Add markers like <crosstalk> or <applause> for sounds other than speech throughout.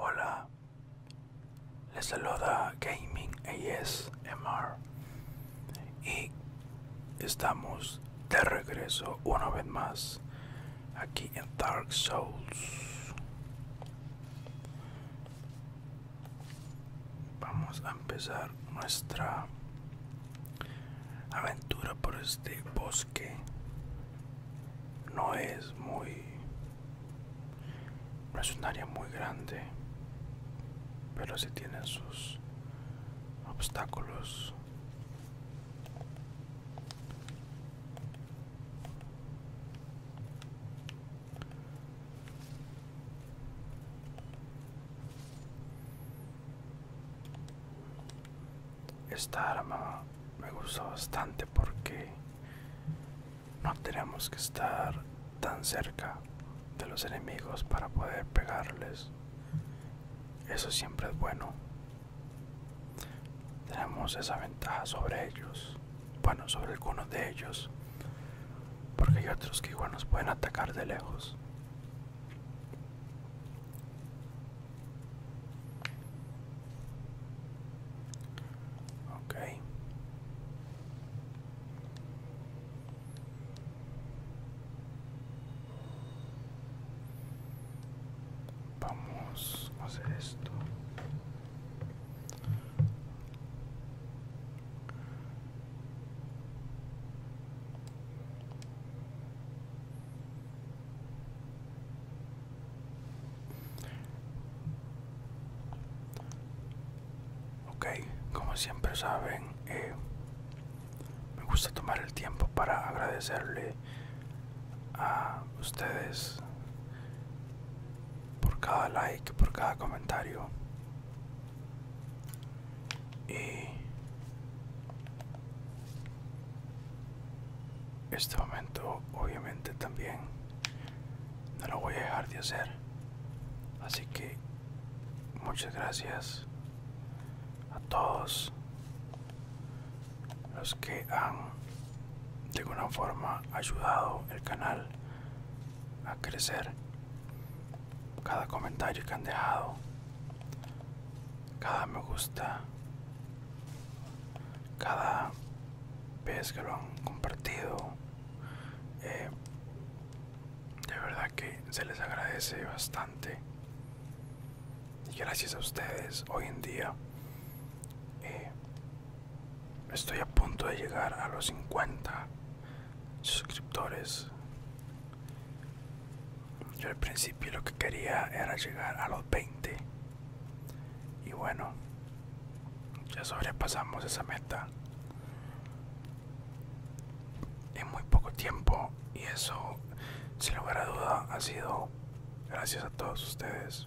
Hola, les saluda Gaming ASMR y estamos de regreso una vez más aquí en Dark Souls. Vamos a empezar nuestra aventura por este bosque no es muy no es un área muy grande pero si sí sus obstáculos esta arma me gustó bastante porque no tenemos que estar tan cerca de los enemigos para poder pegarles eso siempre es bueno tenemos esa ventaja sobre ellos bueno sobre algunos de ellos porque hay otros que igual nos pueden atacar de lejos Ok. Vamos a hacer esto. Ok, como siempre saben, eh, me gusta tomar el tiempo para agradecerle a ustedes por cada like, por cada comentario. Y este momento obviamente también no lo voy a dejar de hacer así que muchas gracias a todos los que han de alguna forma ayudado el canal a crecer cada comentario que han dejado cada me gusta, cada vez que lo han compartido. Eh, de verdad que se les agradece bastante. Y gracias a ustedes, hoy en día eh, estoy a punto de llegar a los 50 suscriptores yo al principio lo que quería era llegar a los 20. Y bueno, ya sobrepasamos esa meta en muy poco tiempo y eso sin lugar a duda ha sido gracias a todos ustedes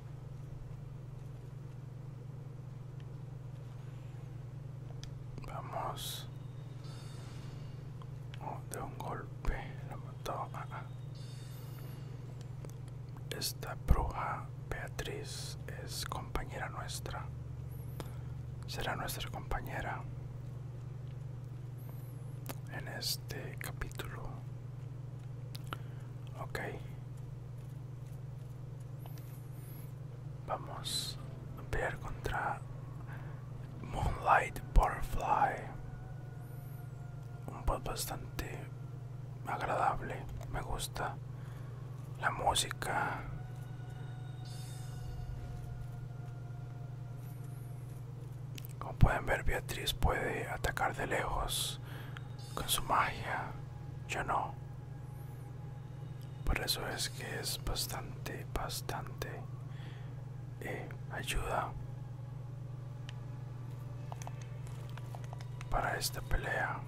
Vamos. Oh, de un golpe. La mató. Ah, ah. Esta bruja Beatriz es compañera nuestra. Será nuestra compañera en este capítulo. Ok. Vamos a pelear contra Moonlight Butterfly. Un bot bastante agradable. Me gusta la música. Como pueden ver, Beatriz puede atacar de lejos con su magia, yo no. Por eso es que es bastante, bastante eh, ayuda para esta pelea.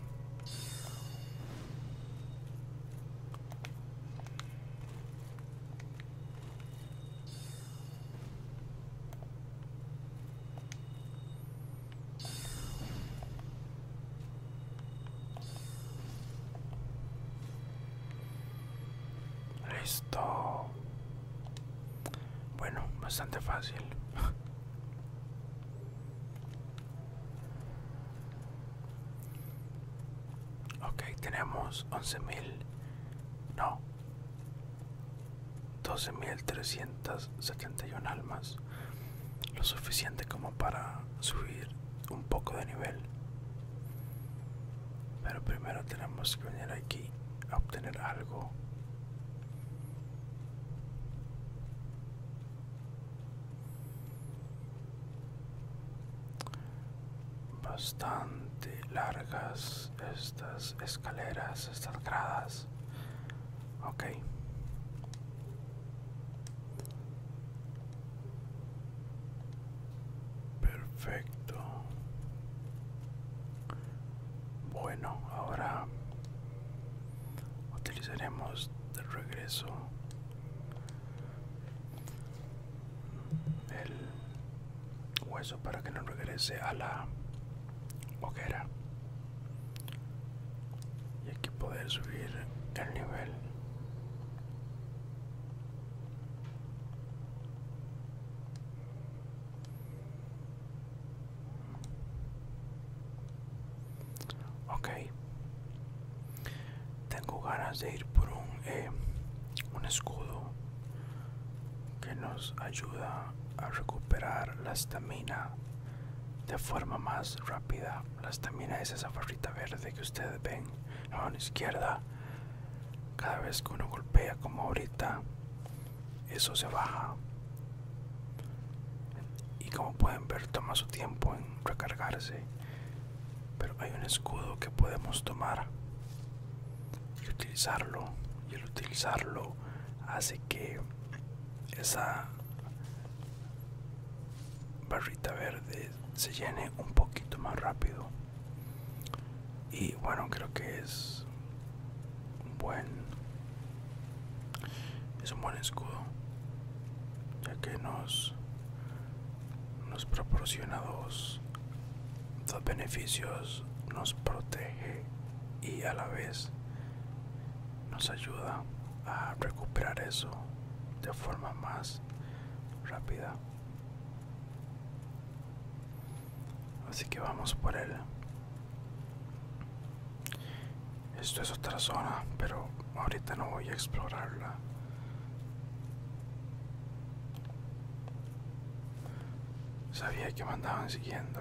Listo. Bueno, bastante fácil. <laughs> ok, tenemos mil No, 12.371 almas, lo suficiente como para subir un poco de nivel. Pero primero tenemos que venir aquí a obtener algo. Bastante largas estas, escaleras, estas gradas. Ok. Perfecto. Bueno, ahora utilizaremos de regreso el hueso para que no regrese a la boquera y aquí poder subir el nivel ok tengo ganas de ir por un eh, un escudo que nos ayuda a recuperar la estamina de forma más rápida. La estamina es esa farrita verde que ustedes ven a mano izquierda. Cada vez que uno golpea como ahorita, eso se baja. Y como pueden ver, toma su tiempo en recargarse. Pero hay un escudo que podemos tomar y utilizarlo y el utilizarlo hace que esa barrita verde se llene un poquito más rápido y bueno creo que es un buen es un buen escudo ya que nos nos proporciona dos los beneficios nos protege y a la vez nos ayuda a recuperar eso de forma más rápida. Así que vamos por él. Esto es otra zona, pero ahorita no voy a explorarla. Sabía que me andaban siguiendo.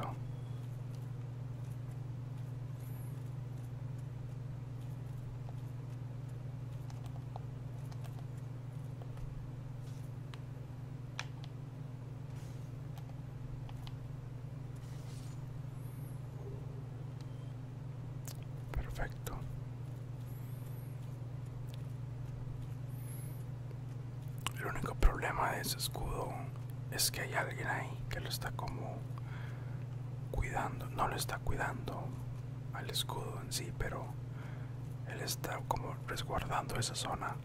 Perfecto. El único problema de ese escudo es que hay alguien ahí que lo está como cuidando. No lo está cuidando al escudo en sí, pero él está como resguardando esa zona.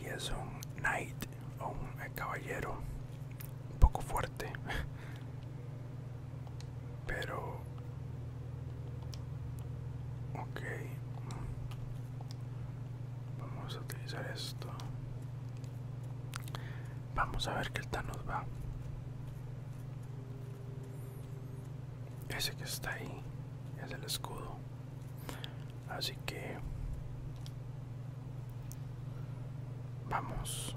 Y es un knight o un caballero un poco fuerte. <laughs> Pero ok vamos a utilizar esto vamos a ver qué tal nos va ese que está ahí es el escudo así que vamos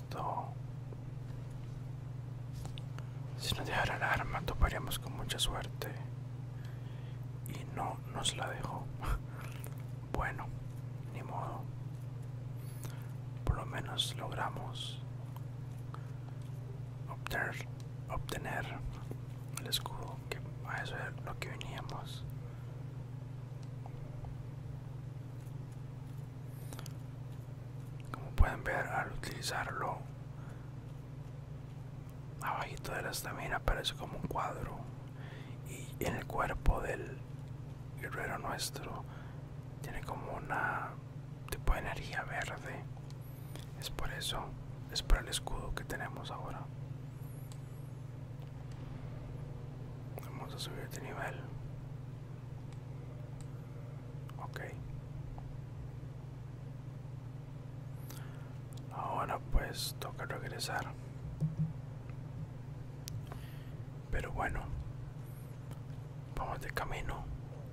Si nos dejara el arma, toparíamos con mucha suerte. Y no nos la dejó. <laughs> bueno, ni modo. Por lo menos logramos obtener, obtener el escudo, que a eso es lo que veníamos como pueden ver al utilizarlo abajito de la estamina Aparece como un cuadro y en el cuerpo del guerrero nuestro tiene como una tipo de energía verde es por eso es por el escudo que tenemos ahora Vamos a subir de este nivel. Ok. Ahora pues toca regresar. Pero bueno, vamos de camino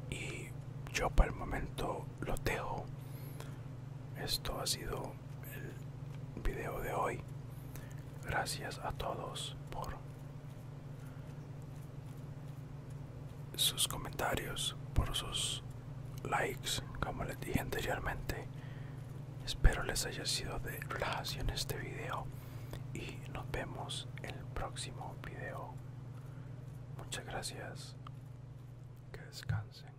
y yo para el momento lo dejo. Esto ha sido el video de hoy. Gracias a todos por sus comentarios, por sus likes, como les dije anteriormente. Espero les haya sido de relajación este video y nos vemos en el próximo video. Muchas gracias. Que descansen.